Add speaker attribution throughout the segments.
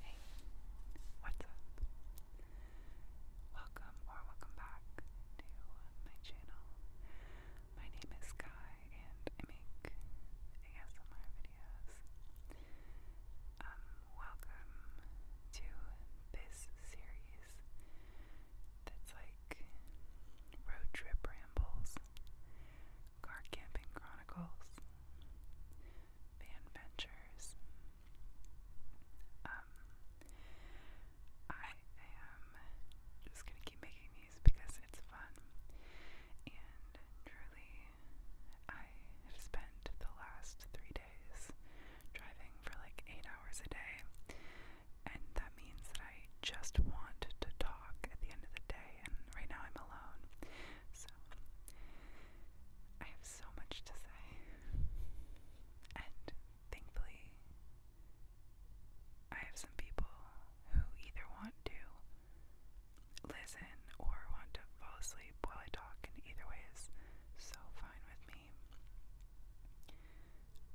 Speaker 1: Hey, what's up? Welcome or welcome back to my channel. My name is Sky and I make ASMR videos. Um, welcome to this series that's like road trip rambles, car camping chronicles. Van Ventures. Um, I am just gonna keep making these because it's fun, and truly, I have spent the last three days driving for like eight hours a day, and that means that I just want to talk at the end of the day. And right now, I'm alone, so, I have so much to say, and thankfully, I have some people who either want to listen or want to fall asleep while I talk, and either way is so fine with me.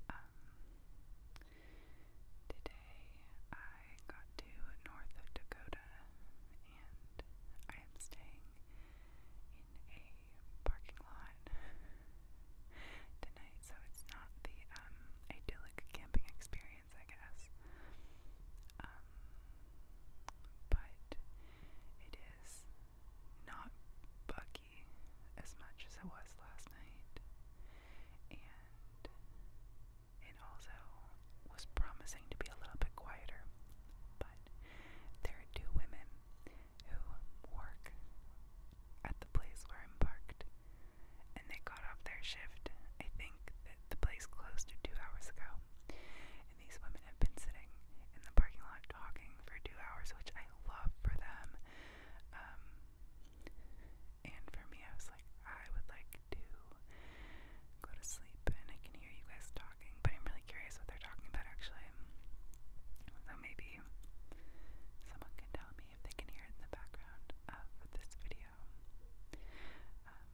Speaker 1: Um, today I got to North Dakota I am staying in a parking lot tonight, so it's not the um, idyllic camping experience, I guess. Um, but it is not buggy as much as it was last night, it also was promising to be a little bit quieter, but there are two women who work at the place where I'm parked, and they got off their shift. I think that the place closed two hours ago, and these women have been sitting in the parking lot talking for two hours, which I love for them. Um, and for me, I was like, I would like to go to sleep and I can hear you guys talking, but I'm really curious what they're talking about actually. So maybe someone can tell me if they can hear in the background of this video. Um,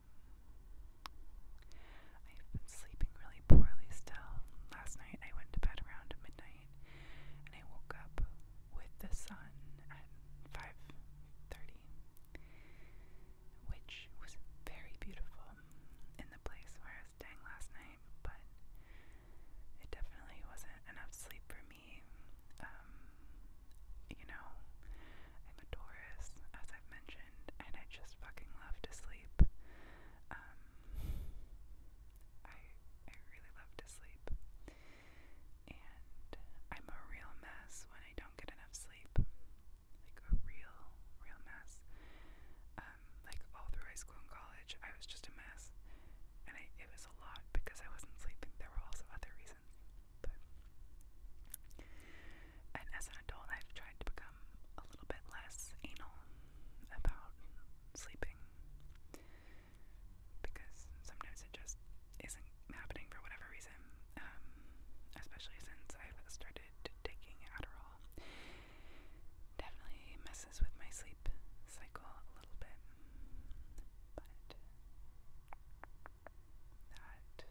Speaker 1: I've been sleeping really poorly still. Last night I went to bed around midnight and I woke up with the sun at 5.30 which was very beautiful in the place where I was staying last night, but it definitely wasn't enough sleep for me. Um, you know, I'm a Taurus, as I've mentioned, and I just fucking love to sleep. Um, I I really love to sleep, and I'm a real mess when I don't get enough sleep like a real, real mess. Um, like all through high school and college, I was just a mess, and it was a lot because I wasn't sleeping. There were also other reasons, but as an adult, I've tried to become a little bit less anal about sleeping because sometimes it just isn't happening for whatever reason, um, especially since I've started taking Adderall. Definitely messes with my sleep cycle a little bit, but that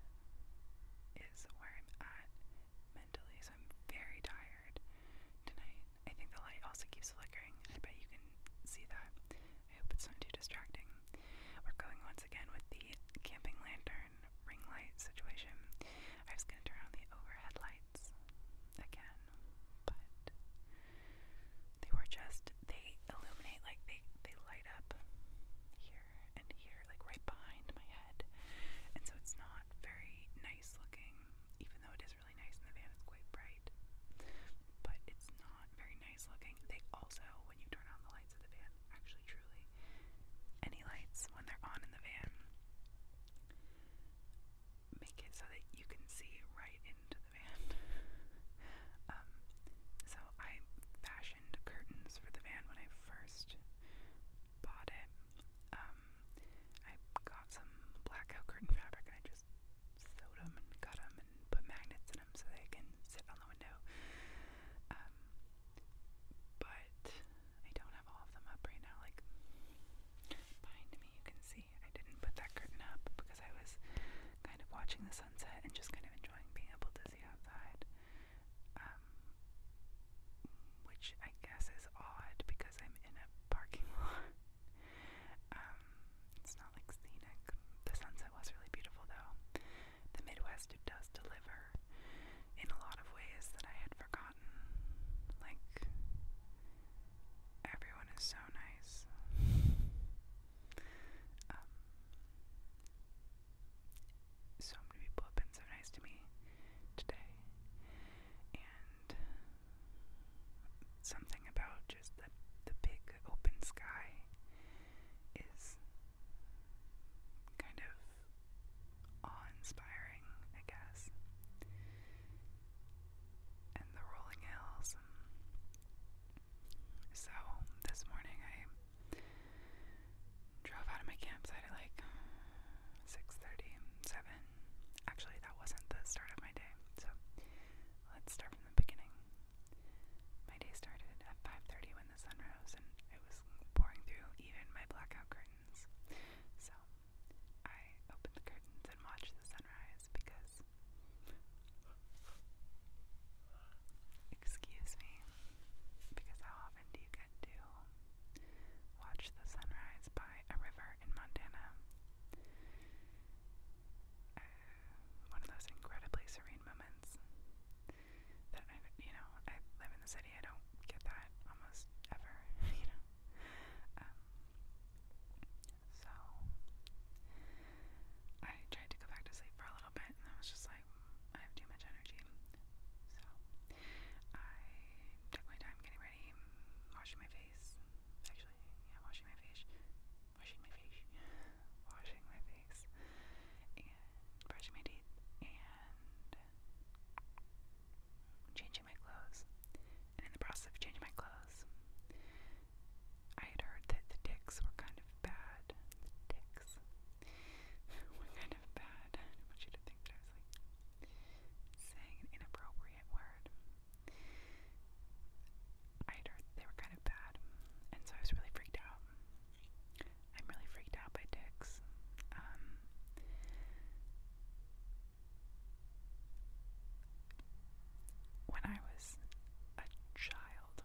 Speaker 1: is where I'm at mentally, so I'm very tired tonight. I think the light also keeps flickering. I bet you can see that. I hope it's not too distracting. We're going once again with the camping lantern ring light situation. I was going to turn on the overhead lights again, but they were just, they illuminate, like they, they light up here and here, like right behind my head. And so it's not very nice looking, even though it is really nice in the van, it's quite bright. But it's not very nice looking. They also, when you turn on the lights of the van, them, actually, truly, any lights when they're on in the van. Make it so that you can see right into the van. um, so I fashioned curtains for the van when I first bought it. Um, I got some blackout curtain fabric and I just sewed them and cut them and put magnets so they can sit on the window. Um, but I don't have all of them up right now. Like behind me, you can see I didn't put that curtain up because I was kind of watching the sunset and just kind of enjoying being able to see outside. Um, which I guess is odd because I'm in a parking lot. Um, it's not like scenic. The sunset was really beautiful though the Midwest does deliver in a lot of ways that I had forgotten. Like, everyone is so nice. Um, so many people have been so nice to me today. And something about just the, the big open sky is kind of awe-inspiring, I guess. And the rolling hills. So this morning I drove out of my campsite at like 6:30, Actually, that wasn't the start of my day. So let's start from the beginning. My day started at 5:30 when the sun rose and it was pouring through even my blackout curtains. So, I opened the curtains and watched the sunrise because Excuse me. Because how often do you get to watch the sunrise by a river in Montana? Uh, one of those incredibly serene moments that I, you know, I live in the city, I don't get that almost ever, you know. Um, so I tried to go back to sleep for a little bit, and I was just like, I have too much energy. So I took my time getting ready, washing my face. Actually, yeah, washing my face, washing my face, washing my face brushing my teeth and changing my clothes. And in the process of changing my clothes, I had heard that the dicks were kind of bad. The dicks were kind of bad. I didn't want you to think that I was like saying an inappropriate word. I had heard they were kind of bad, and so I was really freaked out. I'm really freaked out by ticks. Um, when I was a child,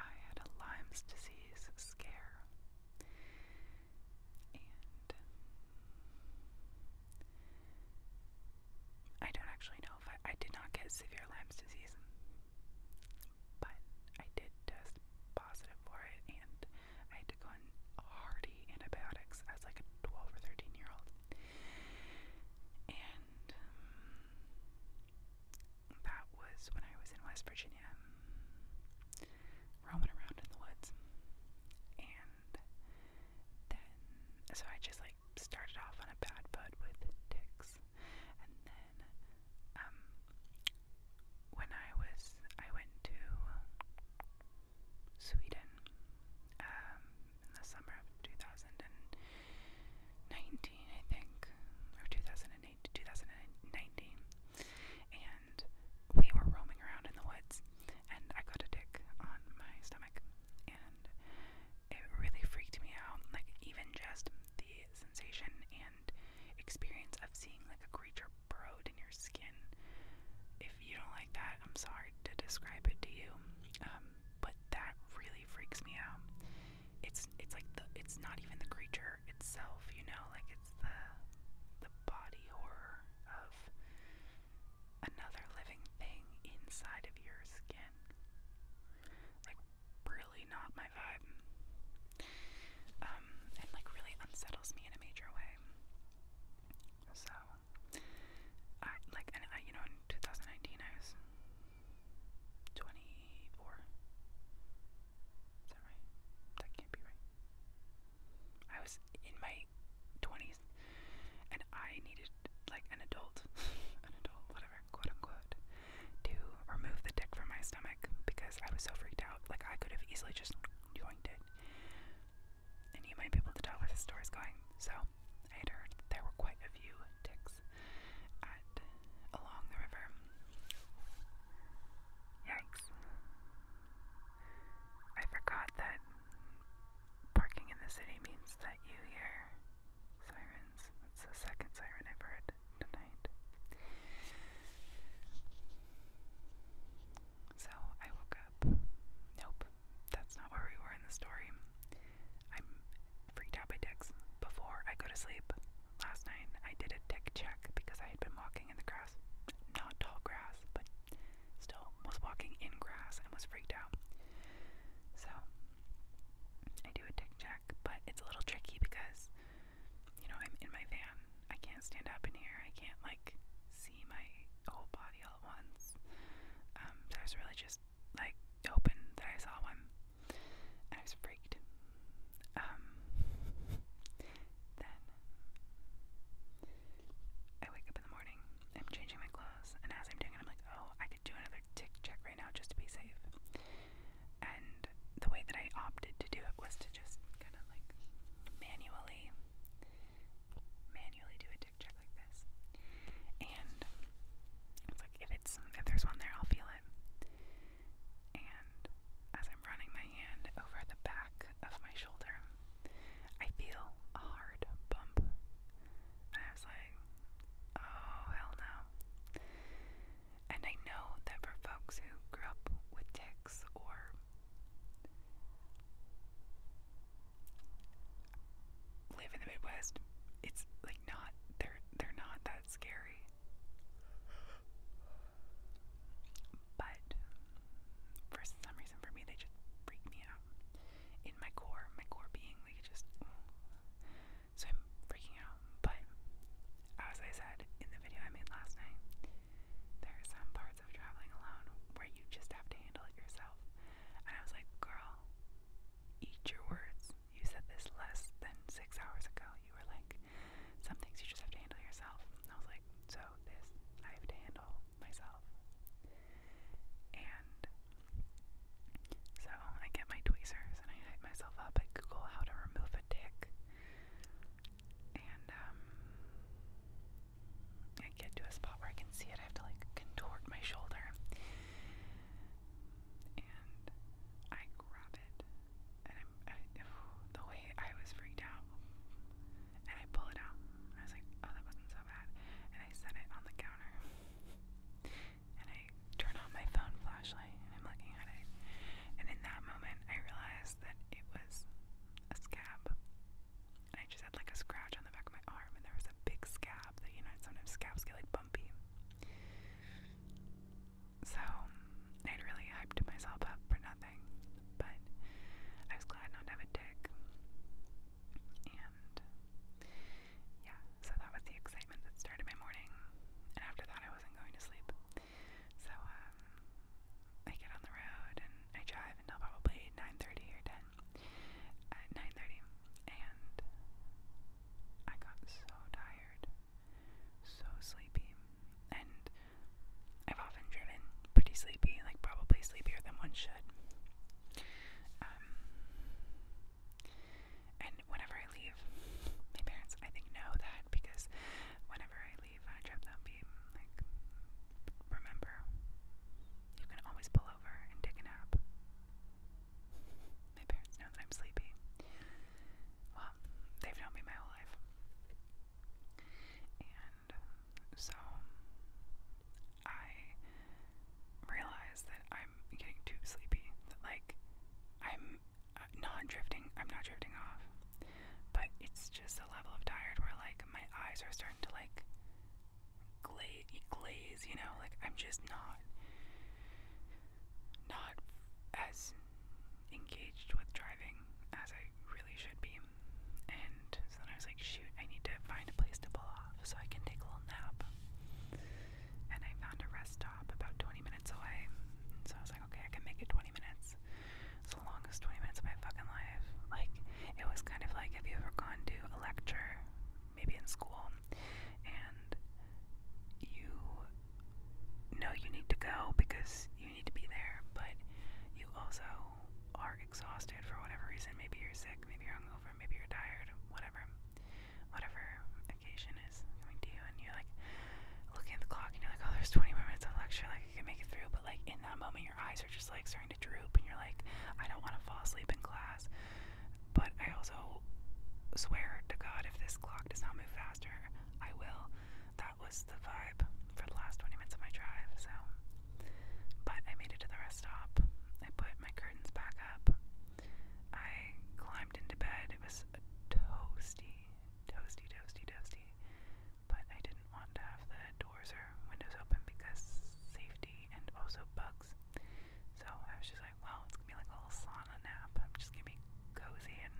Speaker 1: I had a Lyme's disease scare, and I don't actually know if I did not get severe Lyme's disease. But I did test positive for it, and I had to go on hardy antibiotics as like a 12 or 13 year old. And um, that was when I was in West Virginia, um, roaming around in the woods. And then, so I just like started off on a bad foot with ticks, and then then um when I was I went to Sweden um in the summer of 2019 I think or 2008 2019 and we were roaming around in the woods and I got a tick on my stomach and it really freaked me out. Like even just the sensation and experience of seeing like a creature burrowed in your skin. If you don't like that, I'm sorry to describe it to you. Um, but that really freaks me out. It's it's like the it's not even the creature itself, you know, like it's the the body horror of another living thing inside of your skin. Like really not my vibe. Um, and like really unsettles me in a major way. So, I like, and you know, in 2019 I was 24. Is that right? That can't be right. I was in my 20s, and I needed like an adult, an adult, whatever quote unquote, to remove the dick from my stomach because I was so freaked out. Like, I could have easily just joined it. And you might be able to tell where the story's going. So, I had heard there were quite a few dicks at, along the river. Yikes. I forgot that parking in the city means that you hear sirens. That's the second siren I've heard tonight. So I woke up. Nope, that's not where we were in the story. I'm freaked out by ticks. Before I go to sleep last night, I did a tick check because I had been walking in the grass. Not tall grass, but still was walking in grass and was freaked out. So I do a tic tac, but it's a little tricky because, you know, I'm in my van. I can't stand up in here. I can't, like, see my whole body all at once. Um, so I was really just, like, open that I saw one. And I was freaked. Um, then I wake up in the morning, I'm changing my clothes, and as I'm doing it, I'm like, oh, I could do another tic tac now just to be safe. And the way that I opted to do it was to just kind of like manually, manually do a dick check like this. And it's like if it's if there's one there, I'll feel it. And as I'm running my hand over the back of my shoulder, I feel a hard bump. And I was like, oh, hell no. And I know that for folks who grew up with ticks or live in the Midwest, it's like not they're they're not that scary. But for some reason for me they just freak me out. In my core, my core being like just so I'm freaking out. But as I said in the video I made last night, there are some parts of traveling alone where you just have to handle it yourself. And I was like, girl, eat your words. You said this less than six hours ago. You were like, some things you just have to handle yourself. I was like, so this I have to handle myself. And so I get my tweezers and I hype myself up. I Google how to remove a tick. And um, I get to a spot where I can see it. I have to like contort my shoulder. And I grab it. And I'm I, the way I was freaked out. And I pull it out. I was like, oh that wasn't so bad. And I set it on the counter and I turn on my phone flashlight and I'm looking at it. And in that moment, I realized that it was a scab. And I just had like a scratch on the back of my arm, and there was a big scab that, you know, sometimes scabs get like bumpy. So I'd really hyped myself up for nothing, but I was glad not to have a tick. And yeah, so that was the excitement that started my morning. And after that, I wasn't going to sleep. So um, I get on the road and I drive until probably 9:30 or 10. At 9:30, and I got so tired, so sleepy, and I've often driven pretty sleepy, like probably sleepier than one should. Um, and whenever I leave, my parents, I think, know that because whenever I leave on a trip, they like, remember, you can always pull over and take a nap. My parents know that I'm sleepy. Well, they've known me my whole life. And so I realized that I I'm getting too sleepy. like I'm uh, not drifting. I'm not drifting off, but it's just a level of tired where like my eyes are starting to like glaze, glaze. You know, like I'm just not not as engaged with driving as I really should be. And so then I was like, shoot, I need to find a place to pull off so I can take a little nap and I found a rest stop about 20 minutes away. So I was like, okay, I can make it 20 minutes. It's the longest 20 minutes of my fucking life. Like, it was kind of like if you ever gone to a lecture, maybe in school, and you know you need to go because you need to be there, but you also are exhausted for whatever reason. Maybe you're sick, maybe you're hungover, maybe you're tired, whatever whatever occasion is coming to you, and you're like looking at the clock, and you're like, oh, there's 20 more minutes of lecture, like I can make it through. But like in that moment, your eyes are just like starting to droop, and you're like, I don't want to fall asleep in class. But I also swear to God, if this clock does not move faster, I will. That was the vibe for the last 20 minutes of my drive, so. But I made it to the rest stop. I put my curtains back up. I climbed into bed. It was a toasty, toasty, toasty, toasty. But I didn't want to have the doors or windows open because safety and also bugs. So I was just like, well, it's gonna be like a little sauna nap. I'm just gonna be cozy and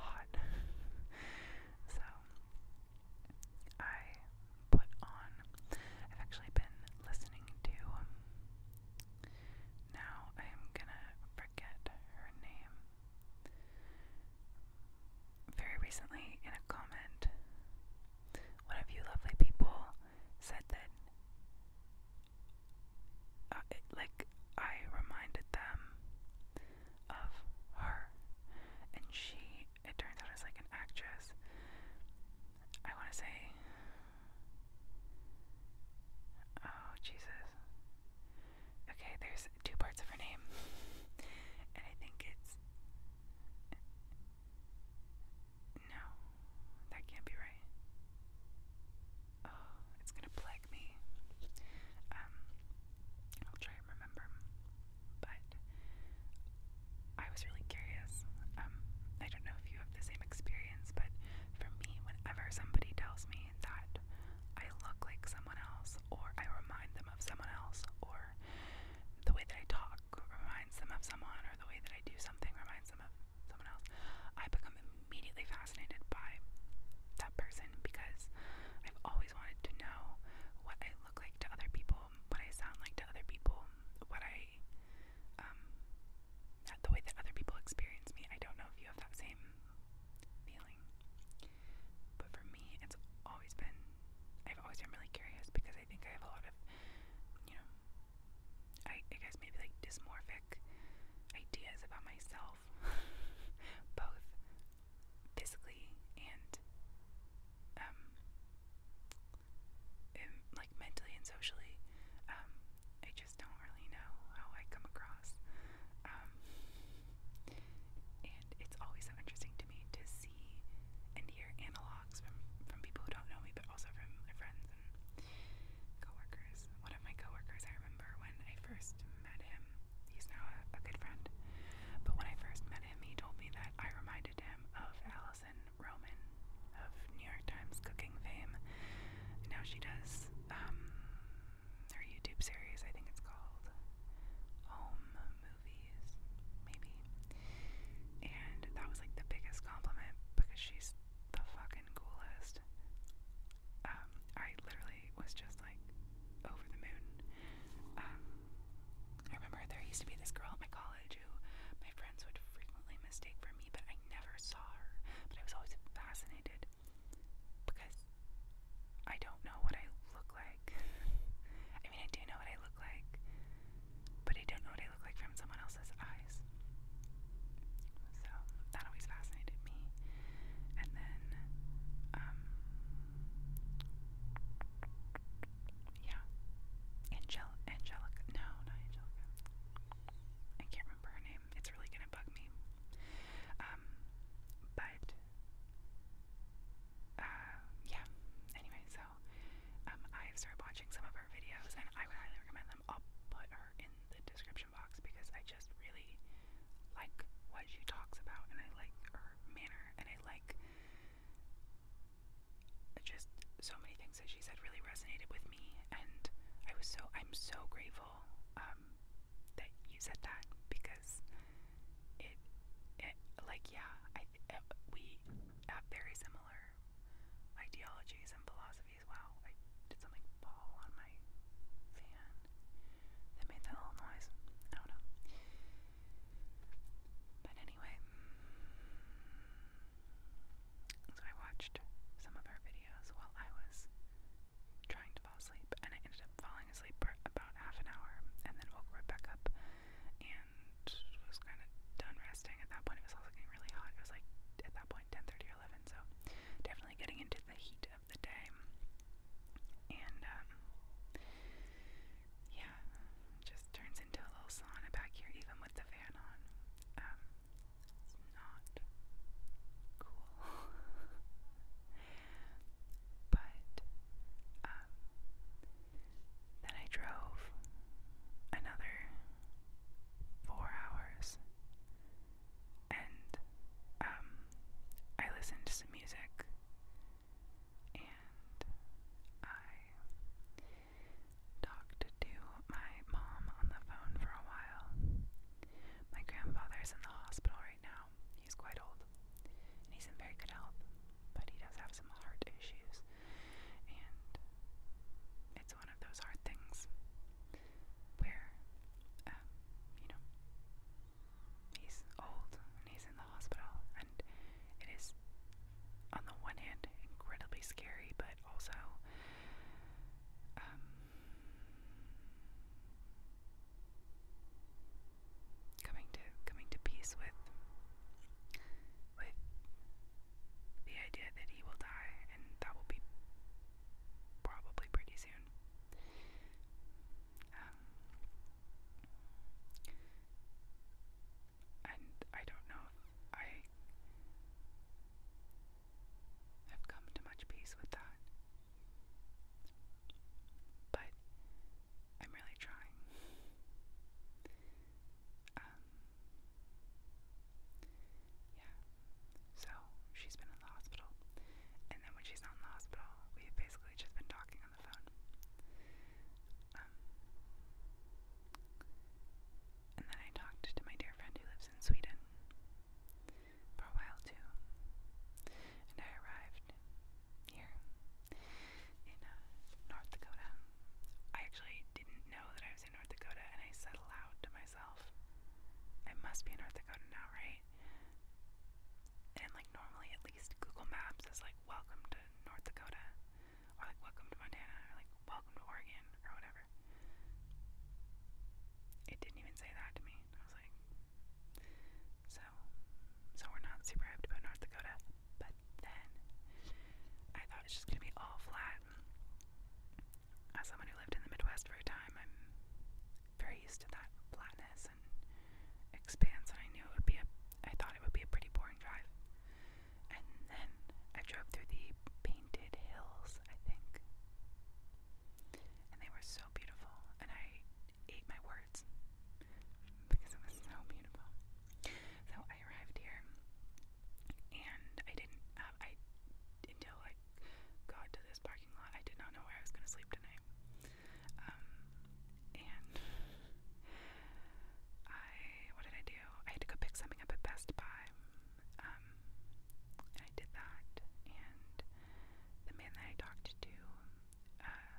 Speaker 1: hot. so I put on. I've actually been listening to um, now I am gonna forget her name. Very recently, in a comment, one of you lovely people said that, uh, like, I reminded them of her. And she, it turns out, is like an actress. I want to say Oh, Jesus. Okay, there's two parts of her name. and I think it's. No, that can't be right. Oh, it's gonna plague me. Um, I'll try and remember, but I was really curious. Um, I don't know if you have the same experience, but for me, whenever somebody tells me that I look like someone else, or I remind them of someone else, or the way that I talk reminds them of someone, or the way that I do something reminds them of someone else, I become immediately fascinated by that person because I've always wanted to know what I look like to other people, what I sound like to other people, what I um, not the way that other people experience me. I don't know if you have that same feeling. But for me, it's always been, I've always been really curious because I think I have a lot of, you know, I, guess maybe like dysmorphic ideas about myself, both physically and, um, like like mentally and socially. Um, I just don't really know how I come across. Um, and it's always so interesting to me to see and hear analogs from, from people who don't know me, but also from my friends and coworkers. One of my coworkers, I remember when I first met him, he's now a, a good friend, but when I first met him, he told me that I reminded him of Allison Roman of New York Times cooking fame. Now she does um, her YouTube series, I think it's called Home Movies, maybe. And that was like the biggest compliment because she's the fucking coolest. Um, I literally was just like over the moon. Um, I remember there used to be this girl at my college Jew. My friends would frequently mistake for me, but I never saw her. But I was always fascinated because I don't know what I look like. I mean, I do know what I look like, but I don't know what I look like from someone else's eyes. So that always fascinated me. And then, um, yeah, Angel Angelica. No, not Angelica. I can't remember her name. It's really gonna bug me. Um, but uh, yeah. Anyway, so um, I've started watching some of her videos, and I would highly recommend them. I'll put her in the description box because I just really like what she talks about, and I like her manner, and I like just so many things that she said really resonated with me, and I was so I'm so grateful um, that you said that because it, it like yeah I it, uh, we have very similar ideologies and philosophies. Wow, I did something fall on my fan that made that little noise. I don't know, but anyway. So I watched some of her videos while I was trying to fall asleep, and I ended up falling asleep for about half an hour, and then woke right back up and was kind of done resting. At that point, it was also getting really hot. It was like at that point 10:30 or 11, so definitely getting into the heat of the day. And um, yeah, just just turns into a little sauna back here, even with the fan on. Um, it's not cool. but, um, then I drove another four hours and, um, I listened to some music and I Talked to my mom on the phone for a while. My grandfather's in the hospital right now. He's quite old. And he's in very good health. But he does have some heart issues. And it's one of those hard things where, um, you know, he's old and he's in the hospital. And it is, on the one hand, incredibly scary, but but also um, coming to coming to peace with with the idea that he will die, and that will be probably pretty soon. Um, and I don't know if I have come to much peace with that. But I'm really trying. Um, yeah. So she's been in the hospital, and then when she's not in the hospital, we've basically just been talking on the phone. Um, and then I talked to my dear friend who lives in Sweden for a while too. And I arrived here in uh, North Dakota. I actually didn't know that I was in North Dakota, and I said aloud to myself, I must be in North Dakota now, right? And like normally, at least Google Maps is like, welcome to North Dakota or like welcome to Montana or like welcome to Oregon or whatever. It didn't even say that to me. I was like, so, so we're not super hyped about North Dakota. But then I thought it's just gonna be all flat. As someone who lived in the Midwest for a time, I'm very used to that flatness and expanse, and I knew it would be a. I thought it would be a pretty boring drive. And then I drove through the Painted Hills, I think. And they were so beautiful, and I ate my words because it was so beautiful. So I arrived here, and I didn't. I until I got to this parking lot, I did not know where I was going to sleep tonight. Um, and I what did I do? I had to go pick something up at Best Buy. Um, and I did that, and the man that I talked to, uh,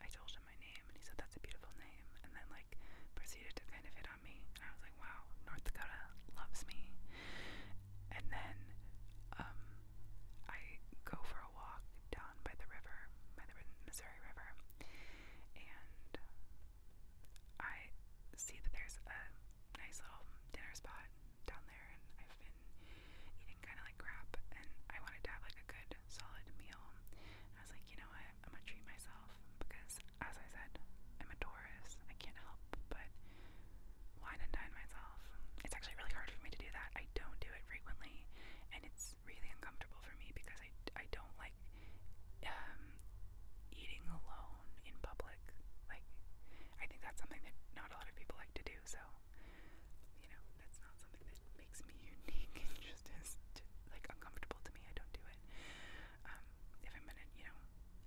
Speaker 1: I told him my name, and he said that's a beautiful name, and then like proceeded to kind of hit on me, and I was like, wow, North Dakota loves me. And then, um, I go for a walk down by the river, by the Missouri River, and I see that there's a nice little dinner spot down there, and I've been eating kind of like crap, and I wanted to have like a good, solid meal. And I was like, you know what? I'm gonna treat myself because, as I said, I'm a Taurus. I can't help but wine and dine myself. It's actually really hard for me to do that. I don't do it frequently, and it's really uncomfortable for me because I I don't like like um, eating alone in public. Like, I think that's something that not a lot of people like to do. So, you know, that's not something that makes me unique. It just is to, like uncomfortable to me. I don't do it. Um, if I'm gonna, you know,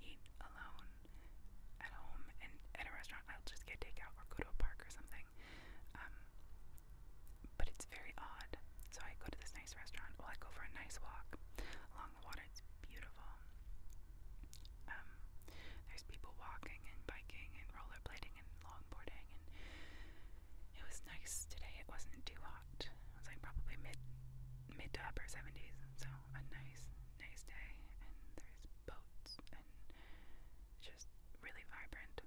Speaker 1: eat alone at home and at a restaurant, I'll just get takeout or go to a park or something. Um, but it's very odd. So I go to this nice restaurant. Well, I go for a nice walk along the water. It's beautiful. Um, there's people walking and biking and rollerblading and longboarding, and it was nice today. It wasn't too hot. It was like probably mid mid to upper 70s, so a nice nice day. And there's boats and just really vibrant.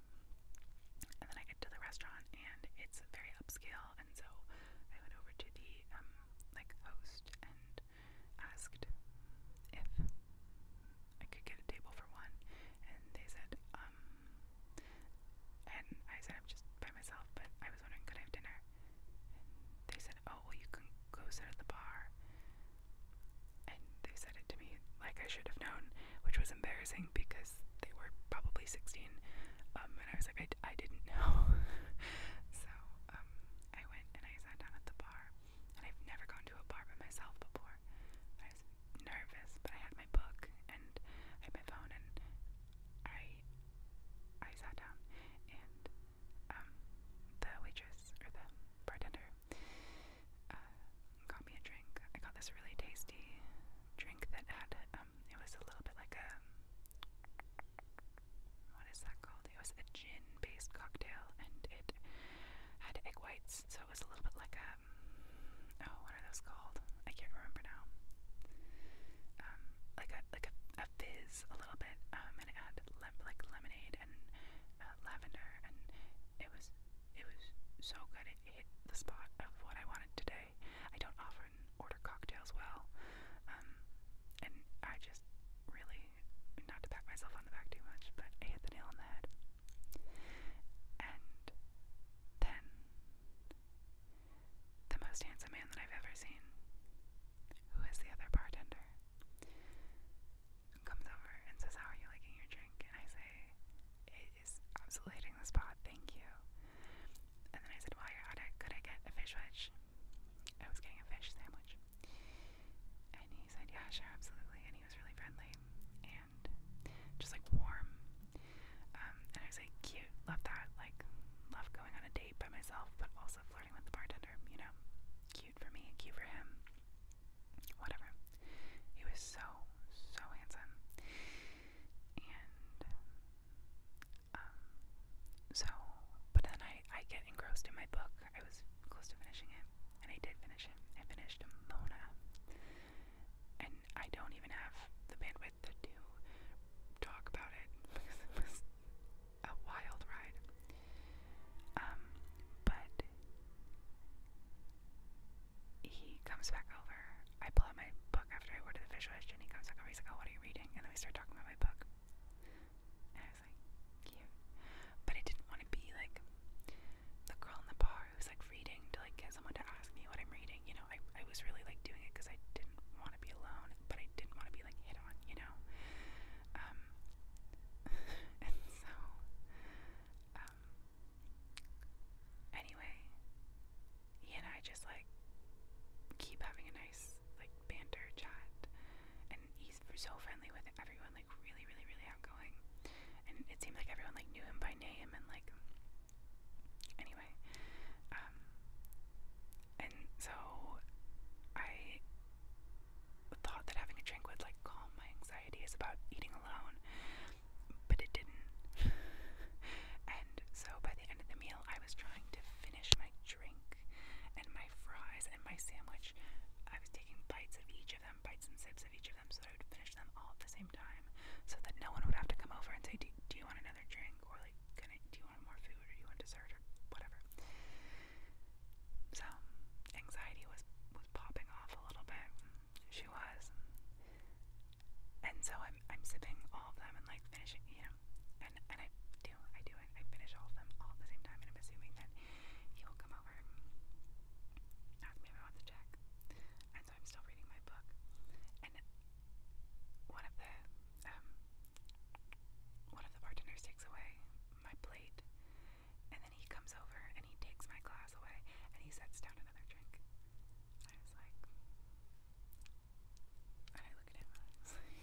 Speaker 1: And then I get to the restaurant, and it's very upscale, so I went over to the um, like host and asked if I could get a table for one, and they said um, and I said I'm just by myself, but I was wondering could I have dinner, they said oh well you can go sit at the bar, and they said it to me like I should have known, which was embarrassing because because they were probably 16. Um, and I was like, I, d I didn't know. so um, I went and I sat down at the bar. And I've never gone to a bar by myself before. I was nervous, but I had my book and I had my phone and I I sat down and um, the waitress or the bartender uh, got me a drink. I got this really tasty drink that had um, it was a little bit like a what is that called? It was a gin-based cocktail, and it had egg whites, so it was a little bit like a um, oh, what are those called? I can't remember now. Um, like a like a, a fizz, a little bit, um, and it had lem like lemonade and uh, lavender, and it was it was so good. It hit the spot of what I wanted today. I don't often order cocktails well, um, and I just really, not to pat myself on the back too much, but hit the nail on the head. And then, the most handsome man that I've ever seen, who is the other bartender, comes over and says, How are you liking your drink? And I say, absolutely the spot. Thank you. And then I said, while you're at it, could I get a fish wedge? I was getting a fish sandwich. And he said, yeah, sure, absolutely. And he was really friendly and just like warm. Um, and I was like, cute, love that. Like, love going on a date by myself, but also flirting with the bartender, you know? Cute for me, cute for him. Whatever. He was so, so handsome and um, so, but then I I get engrossed in my book. I was close to finishing it, and I did finish it. I finished Mona, and I don't even have the bandwidth to do talk about it it was a wild ride. Um, but he comes back over. I pull out my book after I order the fish dish, and he comes back over. He's like, "Oh, what are you reading?" And then we start talking about my book. And I was like, "Cute," but I didn't want to be like the girl in the bar who's like reading to like get someone to ask me what I'm reading. You know, I I was really like doing it because I didn't want to be alone, but I didn't want to be like hit on. You know. Um, and so, um, anyway, he and I just like keep having a nice like banter chat, and he's so friendly with everyone, like really, really, really outgoing, and it seemed like everyone like knew him by name and like anyway, um, and so I thought that having a drink would like calm my anxieties about eating alone, but it didn't. and so by the end of the meal, I was trying to finish my drink and my fries and my sandwich. I was taking bites of each of them, bites and sips of each of them, so that I would finish them all at the same time, so that no one would have to come over and say, "Do, do you want another drink?" or like, "Can I? Do you want more food? Or do you want dessert?" or whatever. So anxiety was was popping off a little bit she was. And so I'm I'm sipping all of them and like finishing, you know, and and I do I do it I finish all of them all at the same time, and I'm assuming that he will come over and ask me if I check. And so I'm still reading my book, and one of the um one of the bartenders takes away my plate, and then he comes over and he takes my glass away and he sets down another drink. I was like, and I look at him and I was like,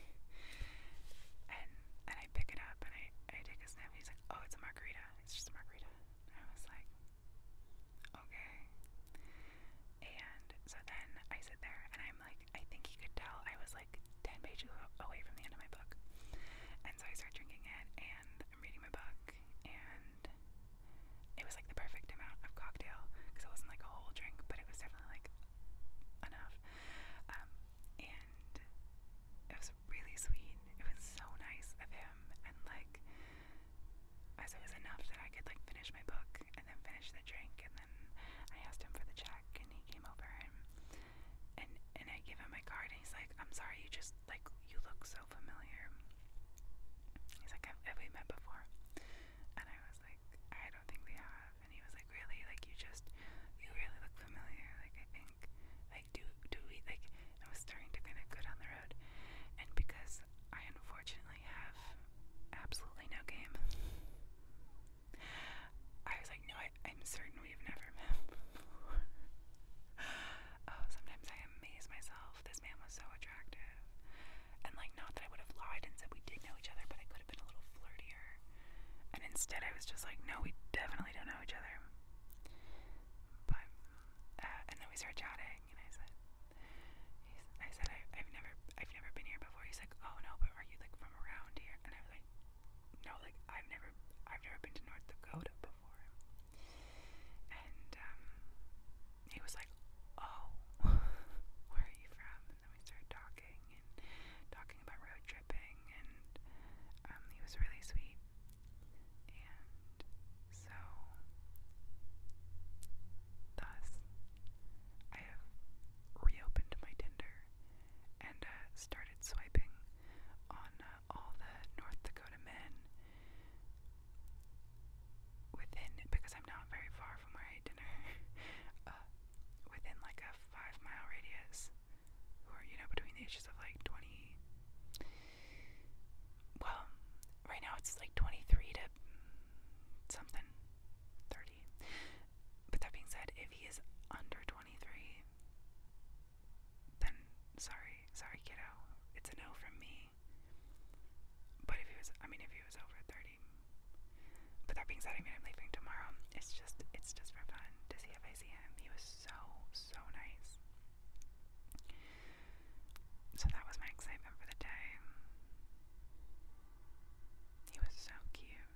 Speaker 1: and, and I pick it up and I, I take a sniff and he's like, oh, it's a margarita. It's just a margarita. And I was like, okay. And so then I sit there and I'm like, I think he could tell I was like 10 pages away from the end of my book. And so I start drinking it and I'm reading my book and it was like the perfect amount of cocktail because it wasn't like a whole drink, but it was definitely like enough. Um, and it was really sweet. It was so nice of him, and like, as it was enough that I could like finish my book and then finish the drink, and then I asked him for the check, and he came over and and and I give him my card, and he's like, "I'm sorry, you just like you look familiar. He's like, have we met before? And I was like, I don't think we have. And he was like, really? Like you just, you really look familiar. Like I think, like do do we like? I was starting to kind of go down the road, and because I unfortunately have absolutely no game, I was like, no, I, am certain we've never met oh, sometimes I amaze myself myself. This man was so attractive. And, like, not that I would have lied and said we did know each other, but I could have been a little flirtier. And instead, I was just like, no, we definitely don't know each other. But, uh, and then we started chatting, and I said, I said, I, I've never, I've never been here before. He's like, oh no, but are you like from around here? And I was like, no, like I've never, I've never been to North Dakota before. And um, he was like, Oh, where are you from? And then we started talking and talking about road tripping, and um, he was really sweet. And so, thus, I have reopened my Tinder and uh, started swiping on uh, all the North Dakota men within because I'm not very far from where I ate dinner, uh, within like a five mile radius, or you know, between the ages of like 20. Well, right now it's like 23 to something, 30. But that being said, if he is under 23, then sorry, sorry, kiddo, it's a no from me. But if he was, I mean, if he was over 30. But that being said, I mean, I'm leaving tomorrow. It's just, it's just for fun to see if see him. He was so, so nice. So that was my excitement for the day. He was so cute.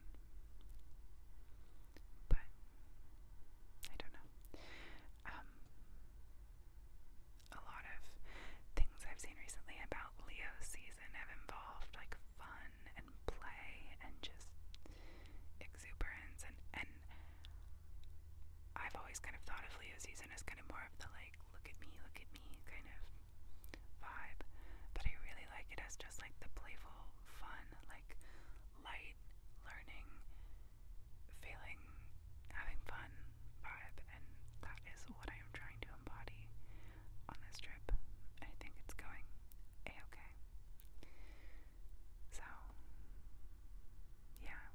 Speaker 1: But, I don't know. Um, a lot of things I've seen recently about Leo season have involved like fun and play and just exuberance and and I've always kind of thought of Leo season as kind of more of the like look at me, look at me kind of vibe. But I really like it as just like the playful, fun, like light learning feeling, having fun vibe, and that is what I am trying to embody on this trip. I think it's going a okay. So, yeah.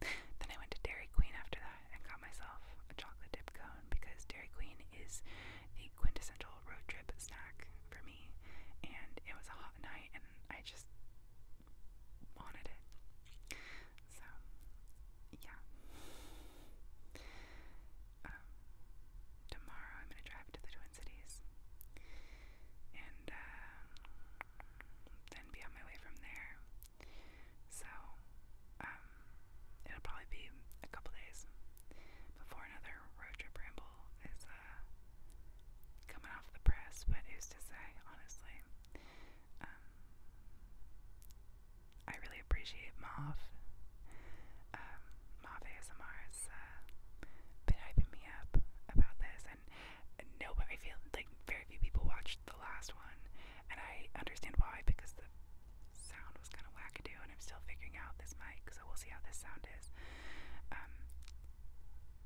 Speaker 1: Then I went to Dairy Queen after that and got myself a chocolate dip cone because Dairy Queen is a quintessential road trip snack for me. And it was a hot night, and I just wanted it. So, yeah. Um, tomorrow I'm going to drive to the Twin Cities and uh, then be on my way from there. So, um, it'll probably be a couple days before another road trip ramble is uh, coming off the press, but who's to say, honestly. Um, I really appreciate Moff, Um, ASMR's uh, been hyping me up about this, and no, but I feel like very few people watched the last one, and I understand why because the sound was kind of wackadoo, and I'm still figuring out this mic, so we'll see how this sound is. Um,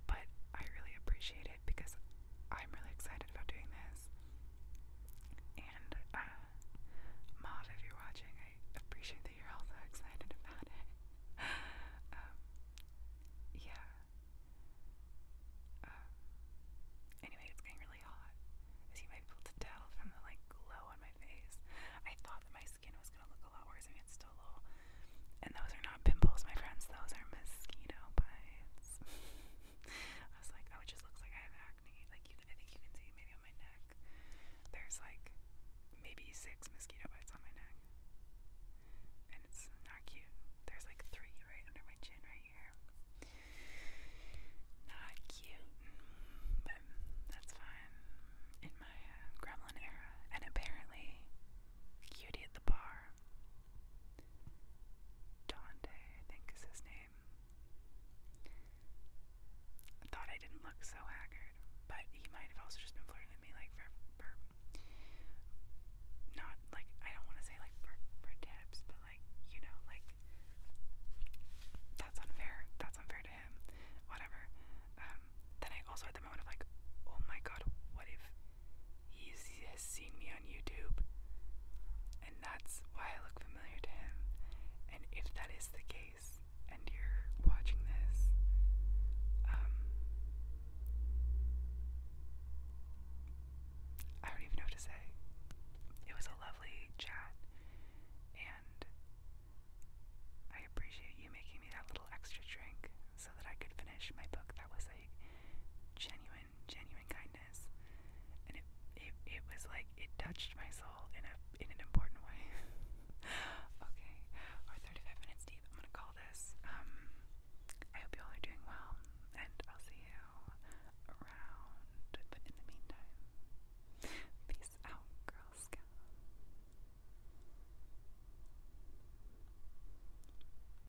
Speaker 1: but I really appreciate it because I'm really excited about doing this. And uh, Maud, if you're watching, I appreciate that you're also excited about it. um, yeah. Um, anyway, it's getting really hot, as you might be able to tell from the like glow on my face. I thought that my skin was gonna look a lot worse. I mean, it's still a little. And those are not pimples, my friends. Those are mosquito bites. I was like, oh, it just looks like I have acne. Like I think you can see maybe on my neck. There's like maybe six mosquito bites on my neck, and it's not cute. There's like three right under my chin right here. Not cute, but that's fine. In my uh, gremlin era, and apparently, cutie at the bar Dante, I think is his name. I thought I didn't look so haggard, but he might have also just been flirting with me, like, for, for not, like, I don't want to say, like, for, tips, but, like, you know, like, that's unfair, that's unfair to him, whatever. Um, then I also had the moment of, like, oh my god, what if he has seen me on YouTube, and that's why I look familiar to him. And if that is the case, and you're watching this, um, I don't even know what to say. It was a lovely chat, and I appreciate you making me that little extra drink so that I could finish my book. That was a genuine genuine, kindness, and it it was like it touched my soul in a in an important way. okay, our 35 minutes deep. I'm gonna call this. Um, I hope you all are doing well, and I'll see you around. But in the meantime, peace out, Girl